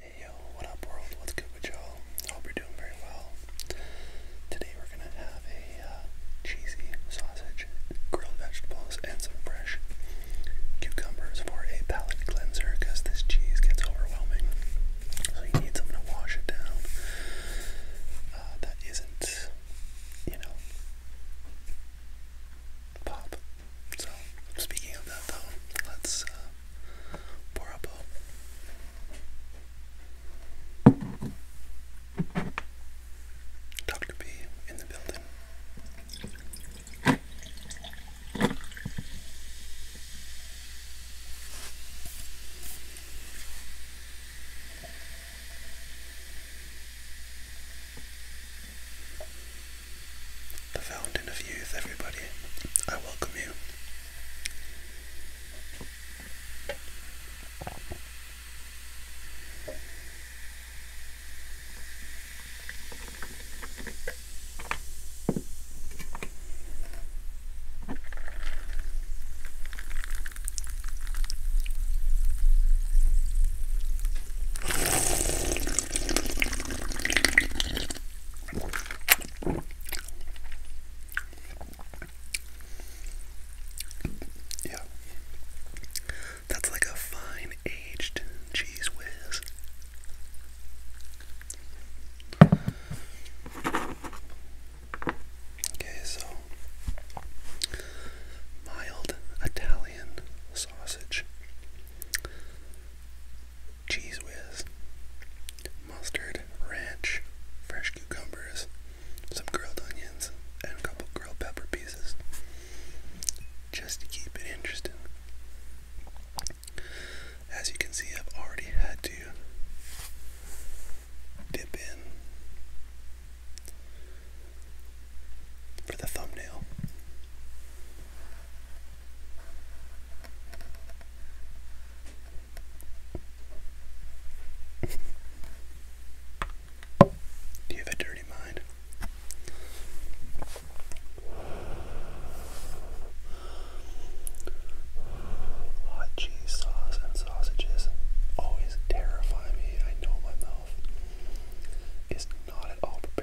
Hey yo, what up world? What's good with y'all? Hope you're doing very well. Today we're gonna have a uh, cheesy sausage, grilled vegetables, and some fresh cucumbers for a palate cleanser because this cheese gets overwhelming. So you need something to wash it down uh, that isn't, you know, pop. So, speaking of that though, let's uh, pour up a Dr. B in the building. The fountain of youth, everybody. I welcome you. Yeah. That's like a fine aged cheese whiz. Okay, so mild Italian sausage cheese whiz, mustard, ranch, fresh cucumbers, some grilled onions, and a couple grilled pepper pieces. Just to keep it interesting. As you can see, I've already had to dip in for the thumbnail. Do you have a dirty mind? Hot cheese sauce and sausages always terrify me. I know my mouth is not at all prepared.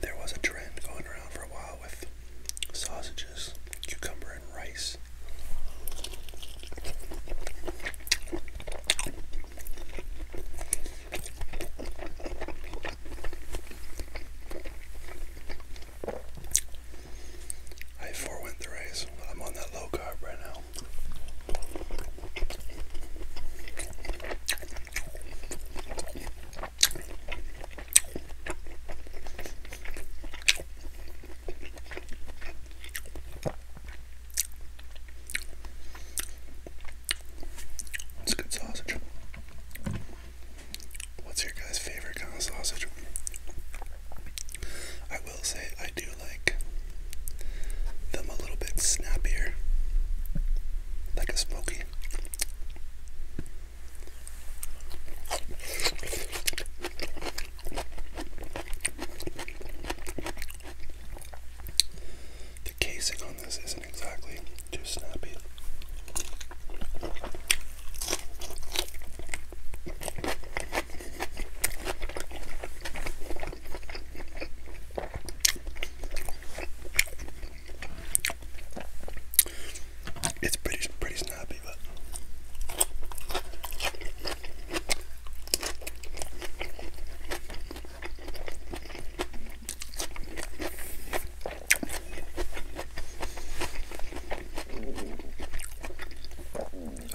There was a trend going around for a while with sausages, cucumber, and rice rice. I forewent the rice. I'm on that low carb right now. That's good sausage. What's your guys' favorite kind of sausage? I will say I do like them a little bit snappier, like a smoky. The casing on this isn't exactly too snappy. It's pretty pretty snappy. I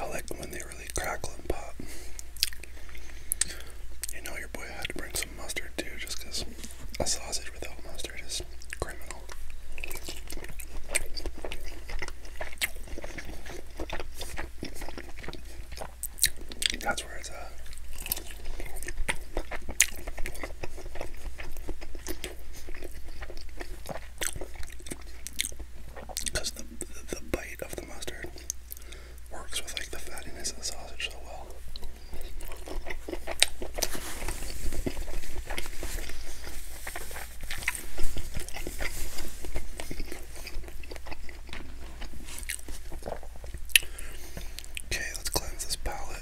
like when they really crackle and pop. You know, your boy had to bring some mustard too, just because a sausage without mustard is cream that's where it's at. Because the, the, bite of the mustard works with like the fattiness of the sausage so well. Okay, let's cleanse this palette.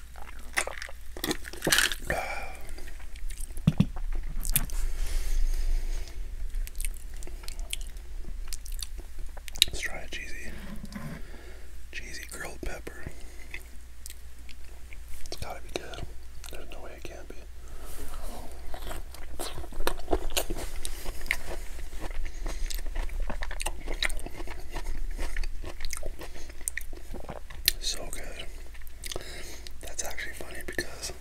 Let's try cheesy, cheesy grilled pepper. It's gotta be good. There's no way it can't be. So good. That's actually funny because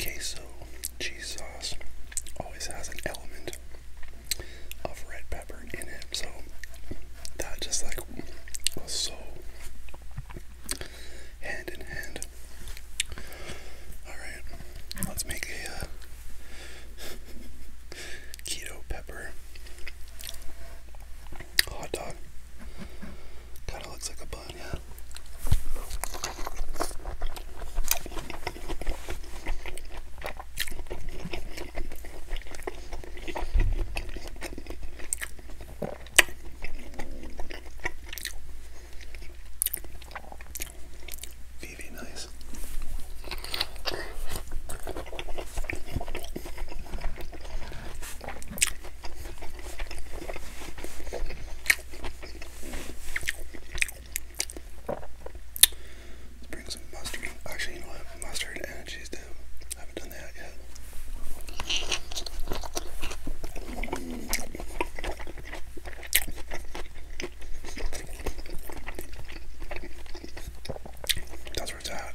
queso cheese sauce always has an element of red pepper in it, so that just like was so hand in hand. Alright, let's make a uh, keto pepper hot dog. Kind of looks like a bun, yeah. Very nice. Let's bring some mustard. Actually, you know what? Mustard and cheese dip. I haven't done done that yet. That's where it's at.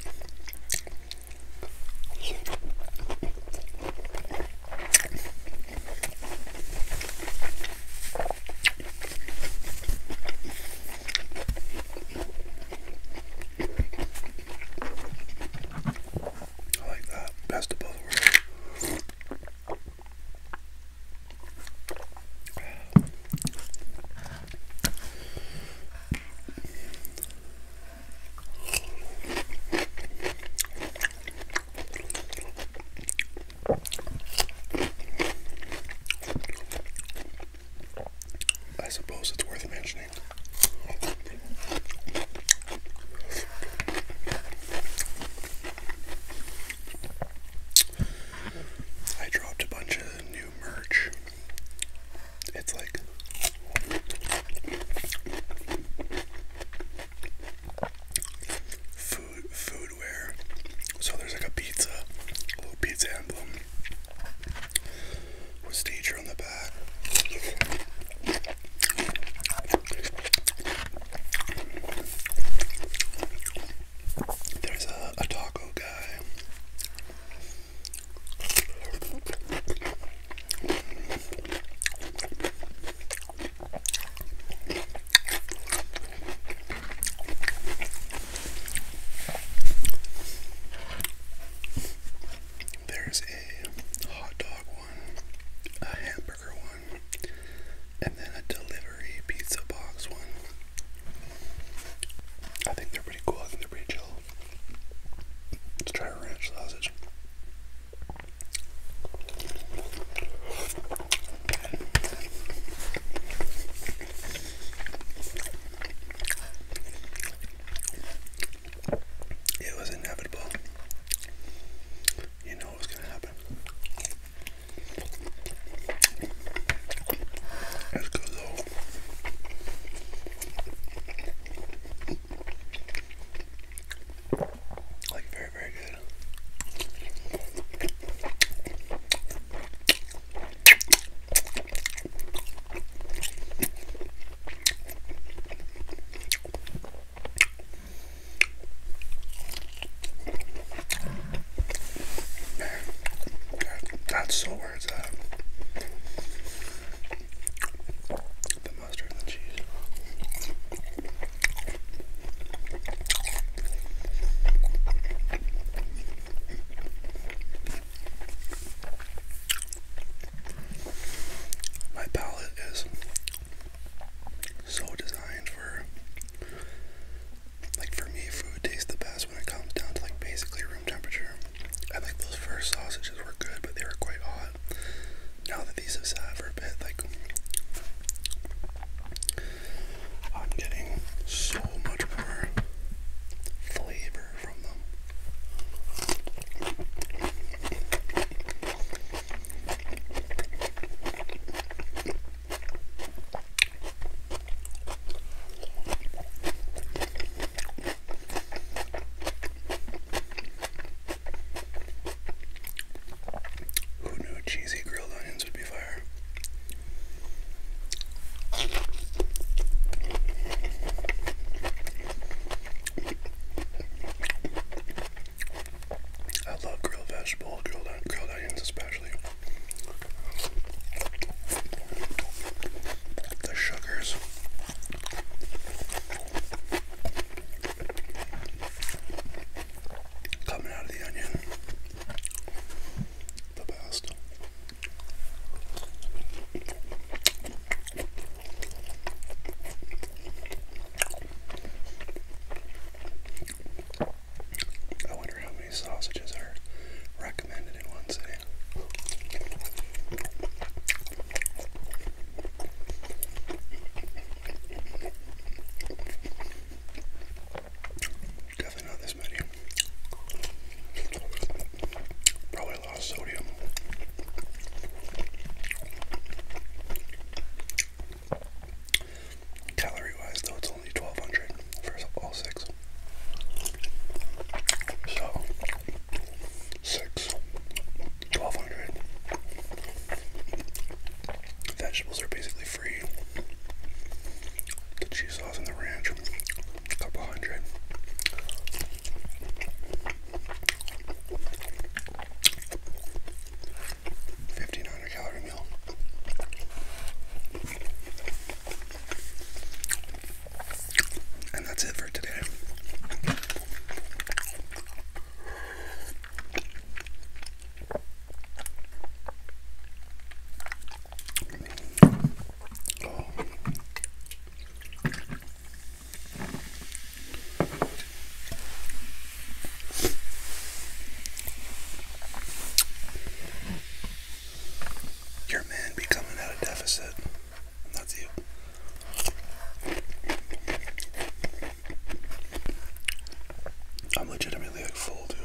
I like that. Best of both worlds. I suppose it's worth mentioning. I dropped a bunch of new merch. It's like food foodware. So there's like a pizza, little pizza emblem. Was stager on the back. There's a taco guy. There's a hot dog one, a hamburger one, and then a delivery pizza box one. I think they're pretty cool. I think they're pretty chill. Let's try ranch sausage. It was inevitable. You know what was going to happen. Let's go Like very, very good. That, that's so where it's at. The mustard and the cheese. My palette is so designed for like for me food tastes the best when it comes down to like basically room temperature. I think those first sausages were good but they were quite hot. Now that these have sat for a bit, like I'm getting so much more flavor from them. Who knew cheesy grilled onions would be fire? I love grilled vegetables, grilled onions especially. The sugars. Coming out of the onion, the best. I wonder how many sausages are recommended in one sitting. Definitely not this many. Probably a lot of sodium. Calorie wise, though, it's only 1200 for all six. So, six, Vegetables are basically free the cheese sauce and the ranch, a couple hundred. calorie meal. And that's it for today. Oh. Your man be coming out of deficit. That's you. I'm legitimately like full, too.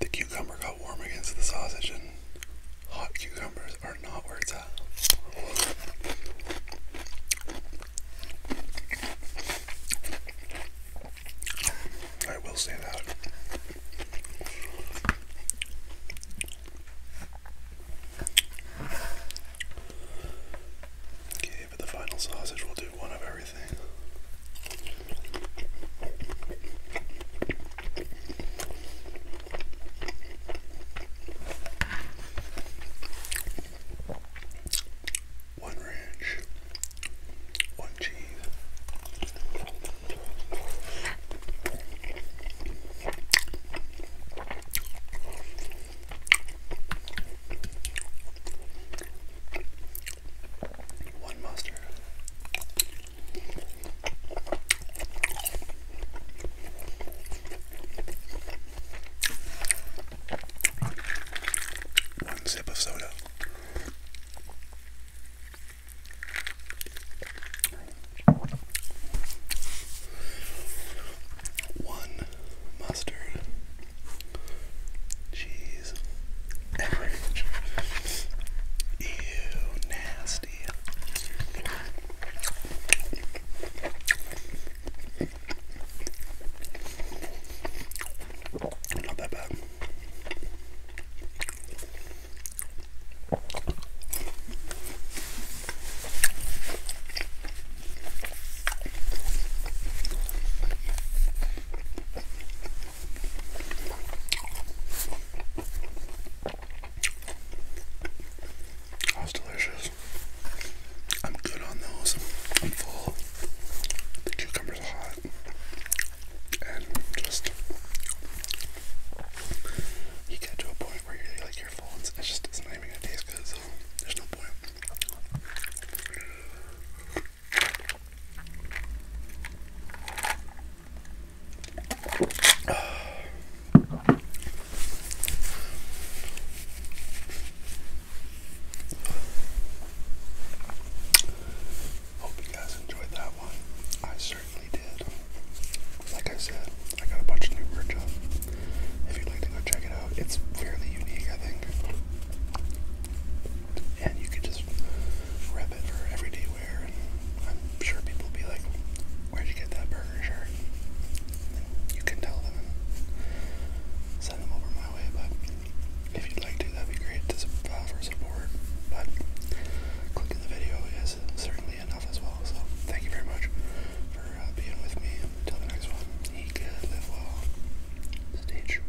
The cucumber got warm against the sausage, and hot cucumbers are not where it's at. I will say that. Okay, for the final sausage, will do one of everything. One ranch, one cheese. One mustard. One sip of soda. One mustard cheese average. Ew, nasty. Not that bad. That was delicious. I'm good on those. I'm full. The cucumbers are hot and just you get to a point where you're like your full and it's just it's not even gonna taste good, there's no point. Hope you guys enjoyed that one. I certainly definitely did. Like I said, I got a bunch of new merch up. If you'd like to go check it out, it's fairly unique, I think. And you could just rep it for everyday wear, and I'm sure people will be like, Where'd you get that burger shirt? And you can tell them and send them over my way, but if you'd like to, that'd be great. Just uh, support, but clicking the video is certainly enough as well. So thank you very much for uh, being with me. Until the next one, he could live well. Stay true.